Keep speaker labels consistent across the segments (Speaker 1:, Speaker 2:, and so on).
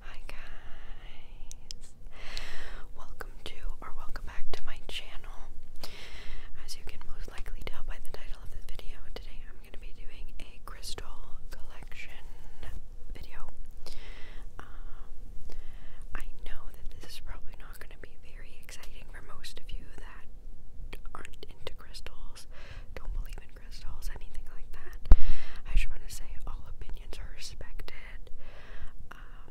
Speaker 1: Hi guys! Welcome to or welcome back to my channel. As you can most likely tell by the title of this video, today I'm going to be doing a crystal collection video. Um, I know that this is probably not going to be very exciting for most of you that aren't into crystals, don't believe in crystals, anything like that. I just want to say all opinions are respected. Um,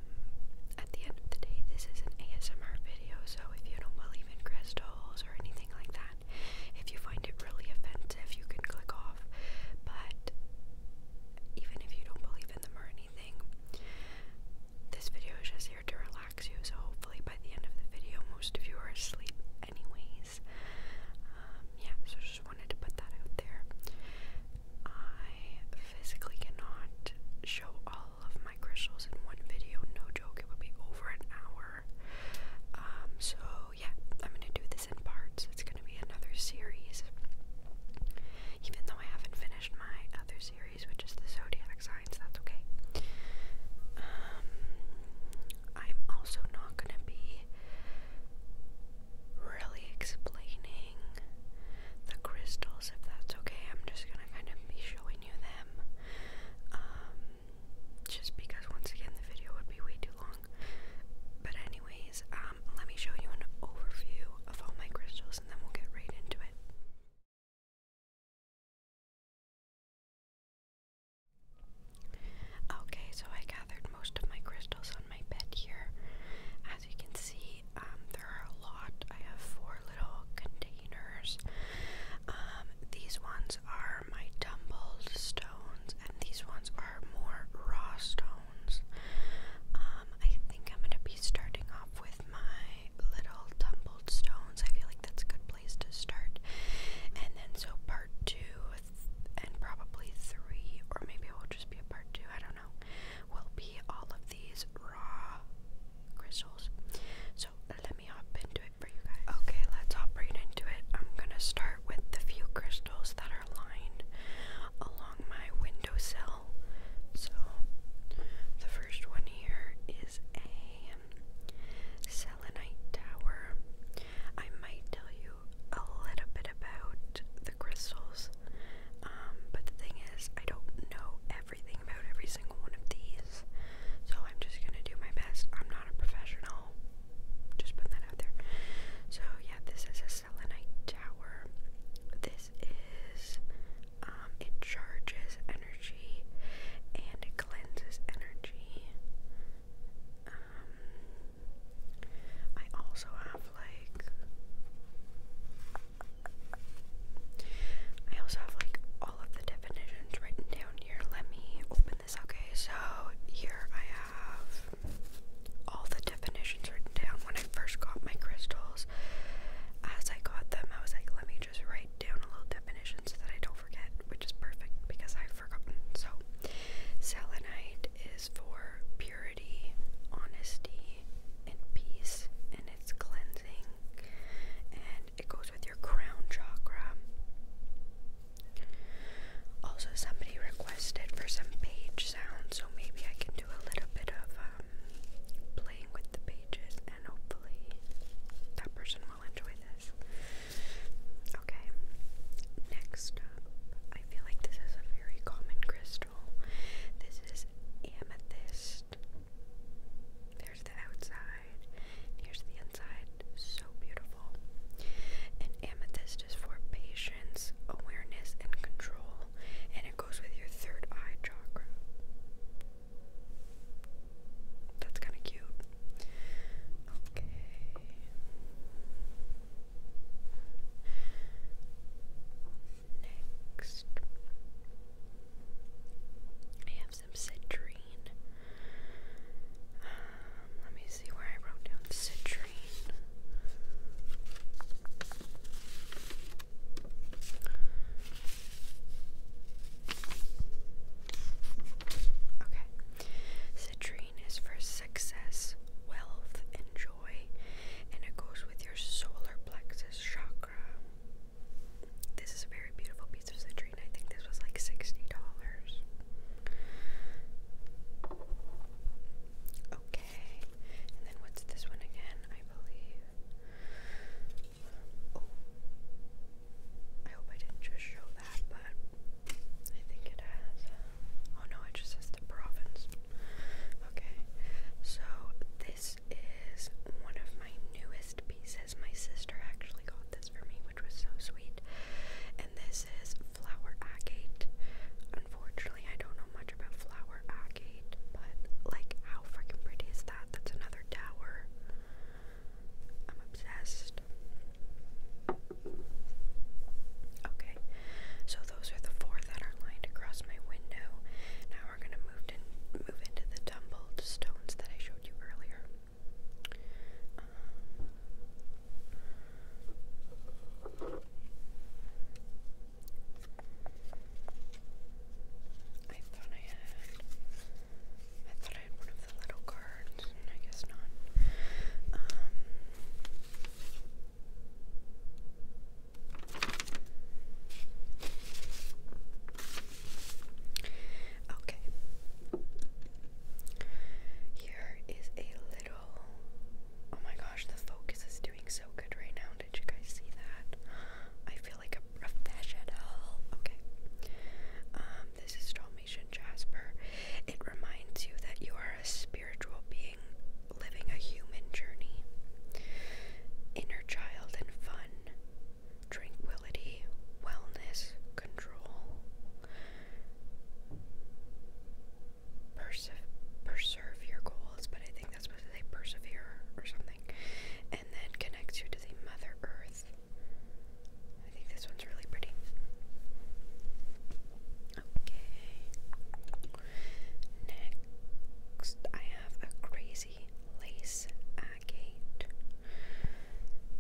Speaker 1: at the end of the day, this is an ASMR video, so if you don't believe in crystals or anything like that, if you find it really offensive, you can click off. But even if you don't believe in them or anything, this video is just here to relax you, so hopefully by the end of the video, most of you are asleep, anyways. Um, yeah, so just wanted to put that out there. I physically cannot show all of my crystals in one video, no joke, it would be over an hour. Um, so, yeah, I'm gonna do this in parts. It's gonna be another series. Even though I haven't finished my other series, which is the zodiac signs, that's okay. Um, I'm also not going to be really explaining the crystals if that's okay. I'm just going to kind of be showing you them. Um, just because once again the video would be way too long. But anyways, um let me show you an overview of all my crystals and then we'll get right into it. Okay, so I gathered most of my crystals on my bed here. As you can see, um, there are a lot. I have four little containers. Um, these ones are my tumbled stones, and these ones are more raw stones. Um, I think I'm gonna be starting off with my little tumbled stones. I feel like that's a good place to start. And then, so part two, and probably three, or maybe it will just be a part two, I don't know, will be all of these raw crystals. So let me hop into it for you guys. Okay, let's hop right into it. I'm gonna start with the few crystals that are lined along my window sill. So the first one here is a selenite tower. I might tell you a little bit about the crystals, um, but the thing is, I don't know everything about every single one of these, so I'm just gonna do my best. I'm not a professional, just put that out there. So, yeah, this is a selenite tower. This is, um, it charges energy and it cleanses energy. Um, I also have like I also have like all of the definitions written down here. Let me open this. Okay, so here I have all the definitions written down when I first got my crystals. As I got them, I was like, let me just write down a little definition so that I don't forget, which is perfect because I forgotten. So, selenite is for purity, honesty, and peace, and it's cleansing, and it goes with your crown chakra. Also, somebody requested for some page sounds, so maybe I can do a little bit of um, playing with the pages, and hopefully that person will enjoy this. Okay, next up I feel like this is a very common crystal. This is amethyst. There's the outside. Here's the inside. So beautiful. And amethyst is for patience, awareness, and control. And it goes with your third eye chakra. That's kind of cute. Okay. Next, I have some citrine. Um, let me see where I wrote down citrine. Okay, citrine is for success, wealth, and joy, and it goes with your solar plexus chakra. This is a very beautiful piece of citrine. I think this was like $60. Okay, and then what's this one again? I believe. Oh, I hope I didn't just show that, but I think it has. Uh, oh no, it just says the province. Okay, so this is one of my newest pieces. My sister actually got this for me, which was so sweet. And this is flower agate. Unfortunately, I don't know much about flower agate, but like, how freaking pretty is that? That's another tower. I'm obsessed. Okay, so those are the four that are lined across my window. Now we're gonna move to move into the tumbled stones that I showed you earlier. Um, I thought I had I thought I had one of the little cards, I guess not. Um, Okay. Here is a little. Oh my gosh, the focus is doing so good right now. Did you guys see that? I feel like a professional. Okay. Um, this is Dalmatian Jasper. It reminds you that you are a spiritual being living a human journey. Inner child and fun, tranquility, wellness, control, Perse your goals, but I think that's supposed to say persevere or something, and then connects you to the Mother Earth. I think this one's really pretty. Okay. Next, I have a crazy lace agate.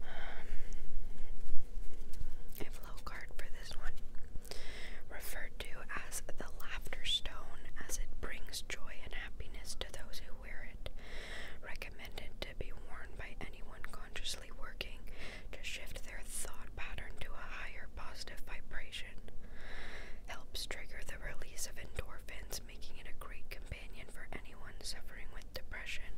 Speaker 1: Um, a low card for this one. Referred to as the laughter stone, as it brings joy and happiness to those who wear it. Recommended to be worn by anyone consciously working to shift their thought pattern to a higher positive vibration. Helps trigger the release of endorphins, making it a great companion for anyone suffering with depression.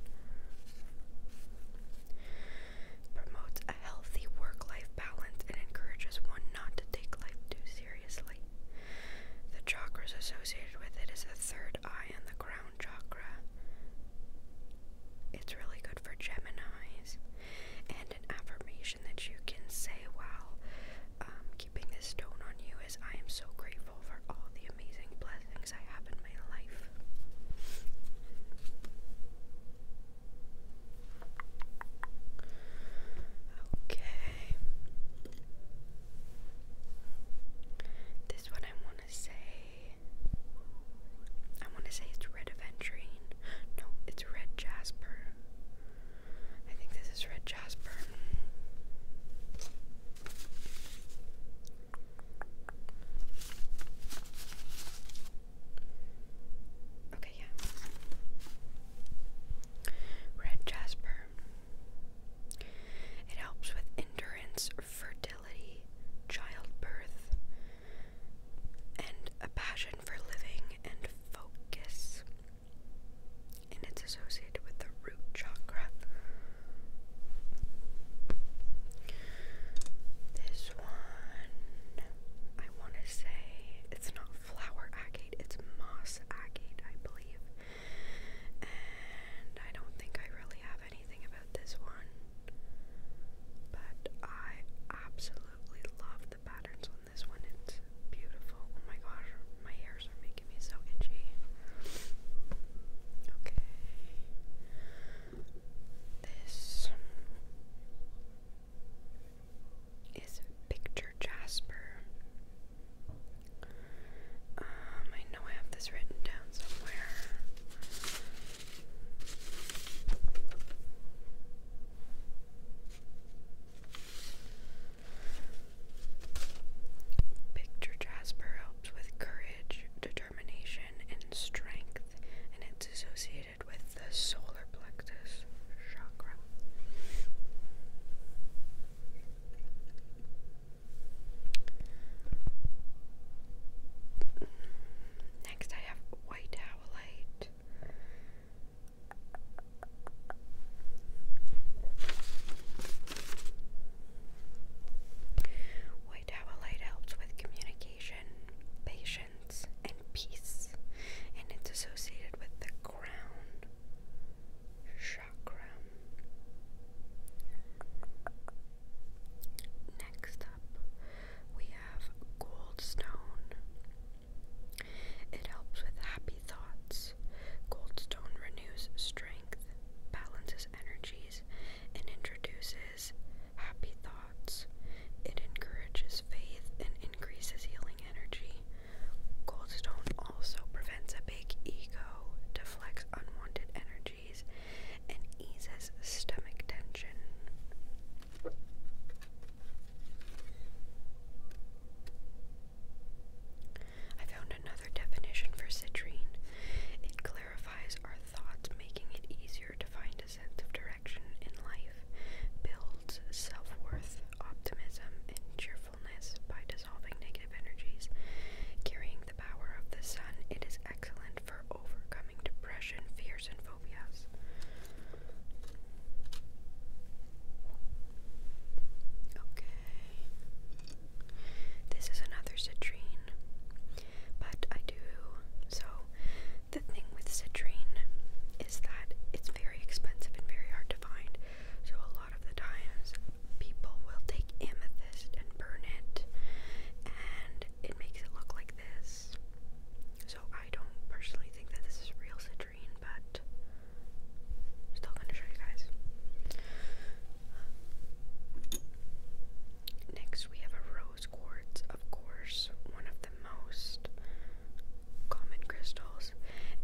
Speaker 1: Promotes a healthy work life balance and encourages one not to take life too seriously. The chakra associated with it is the third eye and the crown chakra. It's really good for Geminis and an affirmation that you can say while um, keeping this stone on you is I am so grateful for all the amazing blessings I have in my life. Okay. This one I want to say. I want to say it's red aventurine. No, it's red jasper. I think this is red jasper. Okay, yeah. Red jasper. It helps with endurance, fertility, childbirth, and a passion for living and focus. And it's associated with the root chakra. This one, I want to say it's not flower agate, it's moss agate, I believe. And I don't think I really have anything about this one, but I absolutely absolutely love the patterns on this one. It's beautiful. Oh my gosh, my hairs are making me so itchy. Okay. This is Picture Jasper. Um, I know I have this written down somewhere. Picture Jasper helps with courage, determination, and strength, and it's associated with the solar plexus chakra. Next, I have white howlite. White Tower helps with communication, patience, and peace, and it's associated with the crown chakra. Next up, we have goldstone. It helps with happy thoughts. Goldstone renews strength, balances energies, and introduces happy thoughts. It encourages faith and increases healing energy. Goldstone also prevents a big ego, deflects unwanted energies, and eases stomach tension. I found another definition for citrine. It clarifies our thoughts, making it easier to find a sense of direction in life, builds self worth, optimism, and cheerfulness by dissolving negative energies. Carrying the power of the sun, it is excellent for overcoming depression, fears, and phobias. Okay. This is another citrine, but I do. So, the thing with citrine is that it's very expensive and very hard to find. So, a lot of the times, people will take amethyst and burn it, and it makes it look like this. So, I don't personally think that this is real citrine, but still gonna show you guys. Next, we have a rose quartz, of course, one of the most common crystals,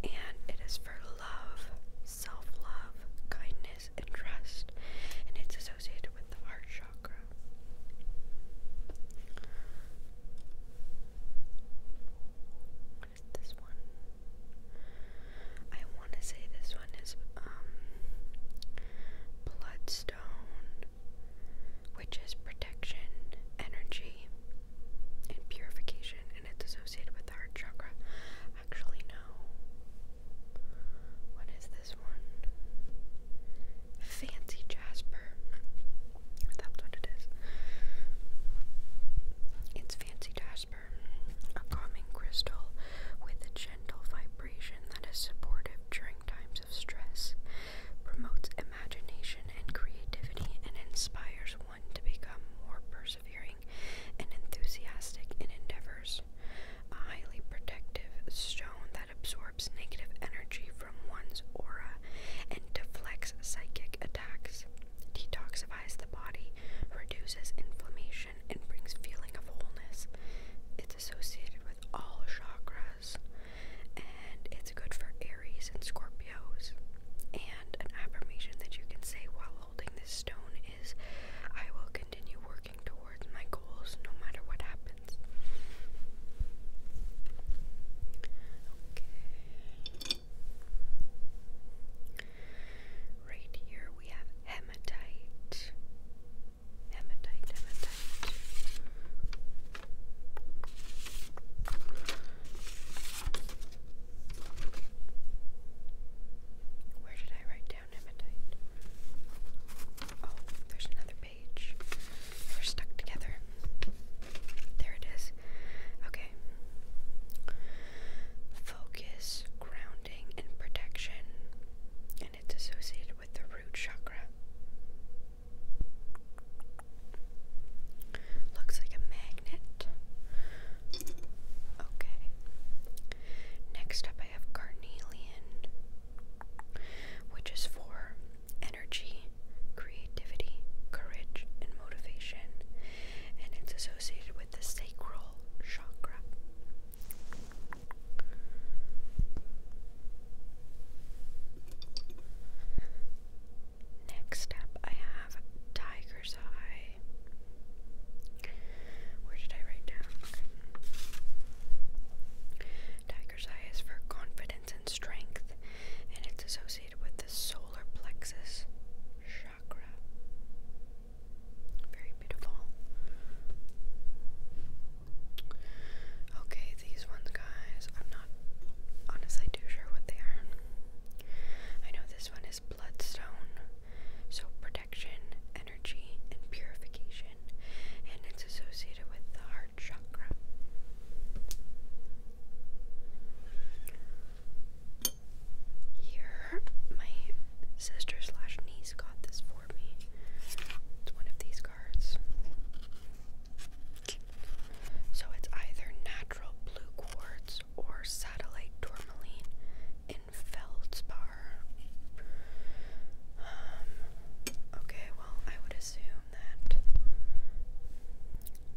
Speaker 1: and it is for love, self love, kindness, and trust, and it's associated with the heart chakra this one? I want to say this one is um, bloodstone, which is protection, energy, and purification, and it's associated with the heart chakra. Actually, no. What is this one? Fancy Jasper. That's what it is. It's fancy jasper, a calming crystal with a gentle vibration that is supportive during times of stress, promotes imagination and creativity, and inspires one to become more persevering and enthusiastic in endeavors. A highly protective stone that absorbs absorbs negative energy from one's aura and deflects psychic attacks, detoxifies the body, reduces inflammation, and brings feeling of wholeness. It's associated with all chakras, and it's good for Aries and Scorpios. And an affirmation that you can say while holding this stone is I will continue working towards my goals no matter what happens happens. Okay. Right here we have hematite. Hematite, hematite. Where did I write down hematite? Oh, there's another we're stuck together. There it is. Okay. Focus, grounding, and protection. And it's associated with the root chakra. Looks like a magnet. Okay. Next up, I have carnelian, which is for energy, creativity, courage, and motivation, and it's associated with the sacral chakra. Next up, I have Tiger's Eye. Where did I write down? Tiger's Eye is for confidence and strength, and it's associated with the solar plexus chakra. Very beautiful. Okay, these ones, guys, I'm not honestly too sure what they are. I know this one is bloodstone, so protection, energy, and purification, and it's associated with the heart chakra. Here, my sister slash niece got this for me. It's one of these cards. So it's either natural blue quartz or satellite tourmaline in feldspar. Um, okay, well, I would assume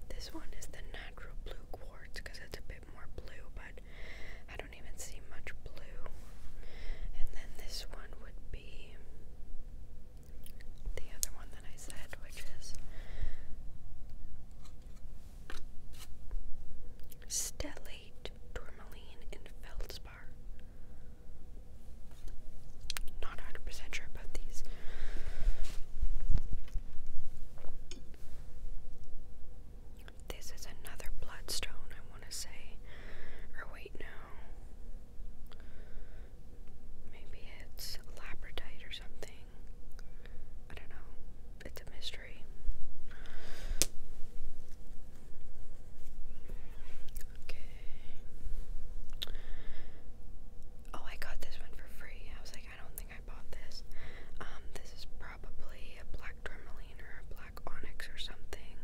Speaker 1: this one is the natural blue quartz because it's a bit more blue, but I don't even see much blue. And then this one would be the other one that I said, which is stellate, tourmaline, and feldspar. Not 100% sure about these. This is another bloodstone, I want to say. Or wait, no. Maybe it's labradite or something. I don't know. It's a mystery. Okay oh, I got this one for free. I was like, I don't think I bought this. Um, this is probably a black tourmaline or a black onyx or something.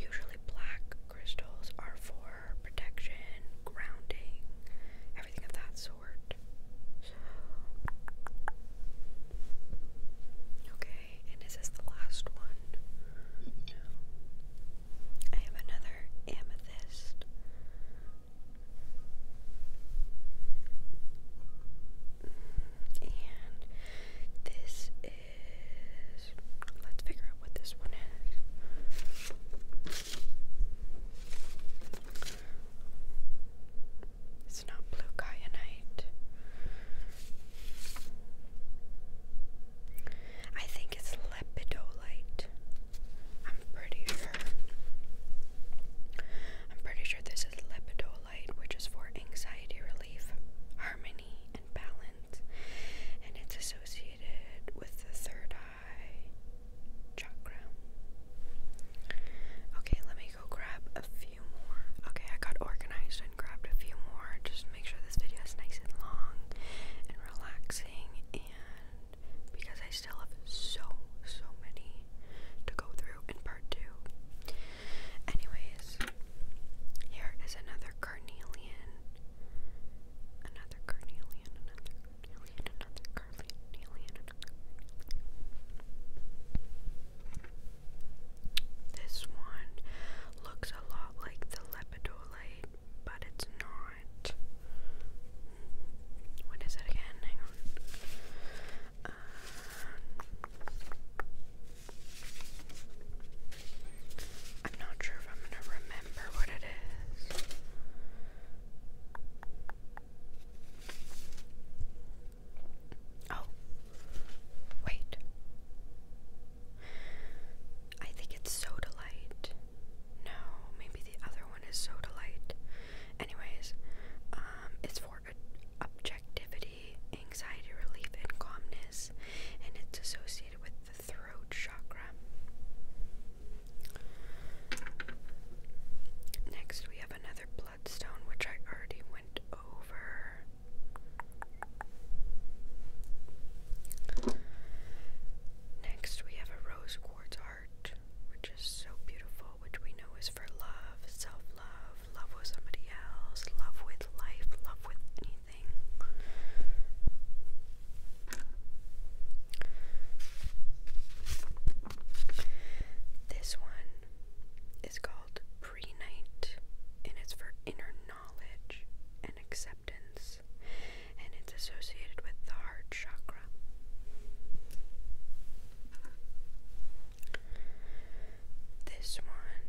Speaker 1: Usually, black crystals are for protection, grounding, everything of that sort. okay, and is this the last one? I have another amethyst. And this is. Let's figure out what this one is. It's not blue kyanite. I think it's lepidolite. I'm pretty sure. I'm pretty sure this is lepidolite, which is for anxiety relief, harmony, and balance. And it's associated with the third eye chakra. Okay, let me go grab a few more. Okay, I got organized and grabbed a few more. Just make sure this video is nice and long and relaxing and because I still have so, so many to go through in part two. Anyways, here is another carnelian. Another carnelian, another carnelian, another carnelian, This one looks a lot like the lepidolite, but it's not. What is it again? Hang on. Uh, I'm not sure if I'm gonna remember what it is. Oh, wait. I think it's Sodalite. No, maybe the other one is so delight. Anyways, um, it's for objectivity, anxiety relief, and calmness, and it's associated with the throat chakra. Next, we have another bloodstone, which I already went over. Next, we have a rose towards art, which is so beautiful, which we know is for love, self love, love with somebody else, love with life, love with anything. This one is called Pre Night, and it's for inner knowledge and acceptance and it's associated with the heart chakra. This one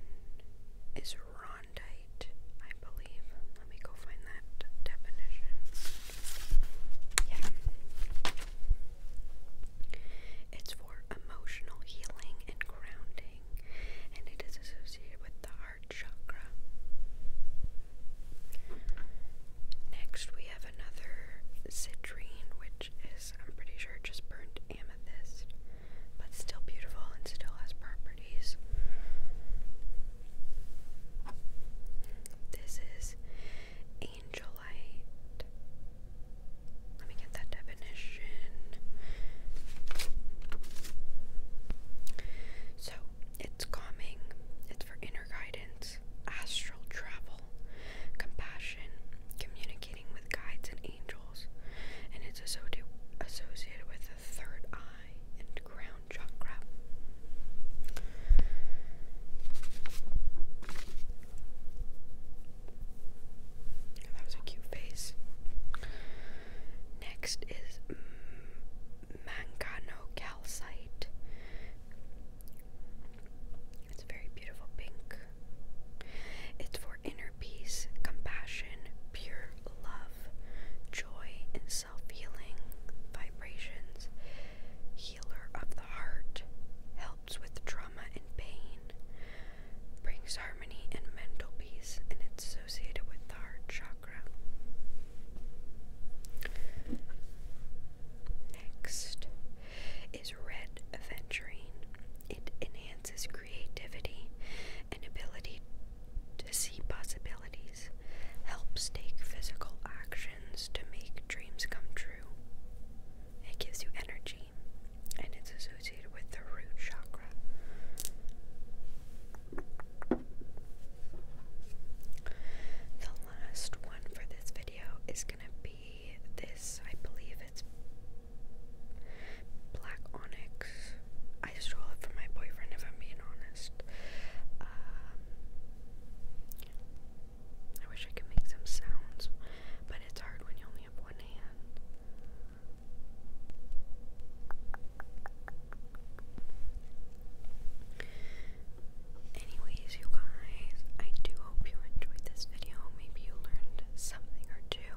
Speaker 1: is rondite, I believe. Let me go find that definition. Yeah. It's for emotional healing and grounding, and it is associated with the heart chakra. Next, we have another citrine, which is, I'm pretty sure, just burnt amethyst, but still beautiful and still has properties. This is angelite. Let me get that definition. So, it's calming, for inner guidance, astral travel, compassion, communicating with guides and angels, and it's associated with the third eye and crown chakra. That was a cute face. Next is manganocalcite. It's a very beautiful pink. It's for inner peace, compassion, pure love, joy, and self healing. Vibrations, healer of the heart, helps with trauma and pain, brings harmony and mental peace, and it's associated with the heart chakra. Next is red aventurine. It enhances creativity and ability to see possibilities, helps take physical actions to make dreams come true. It gives you energy and it's associated with the root chakra. The last one for this video is going to be this, I believe it's Black Onyx. I stole it from my boyfriend, if I'm being honest. Um, I wish I could make some sounds, but it's hard when you only have one hand. Anyways, you guys, I do hope you enjoyed this video. Maybe you learned something or two.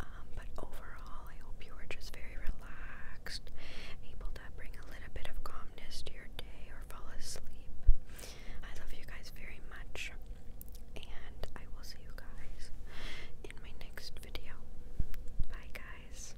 Speaker 1: Um, but overall, I hope you were just very relaxed, able to bring a little bit of calmness to your day or fall asleep. I love you guys very much, and I will see you guys in my next video. Bye, guys.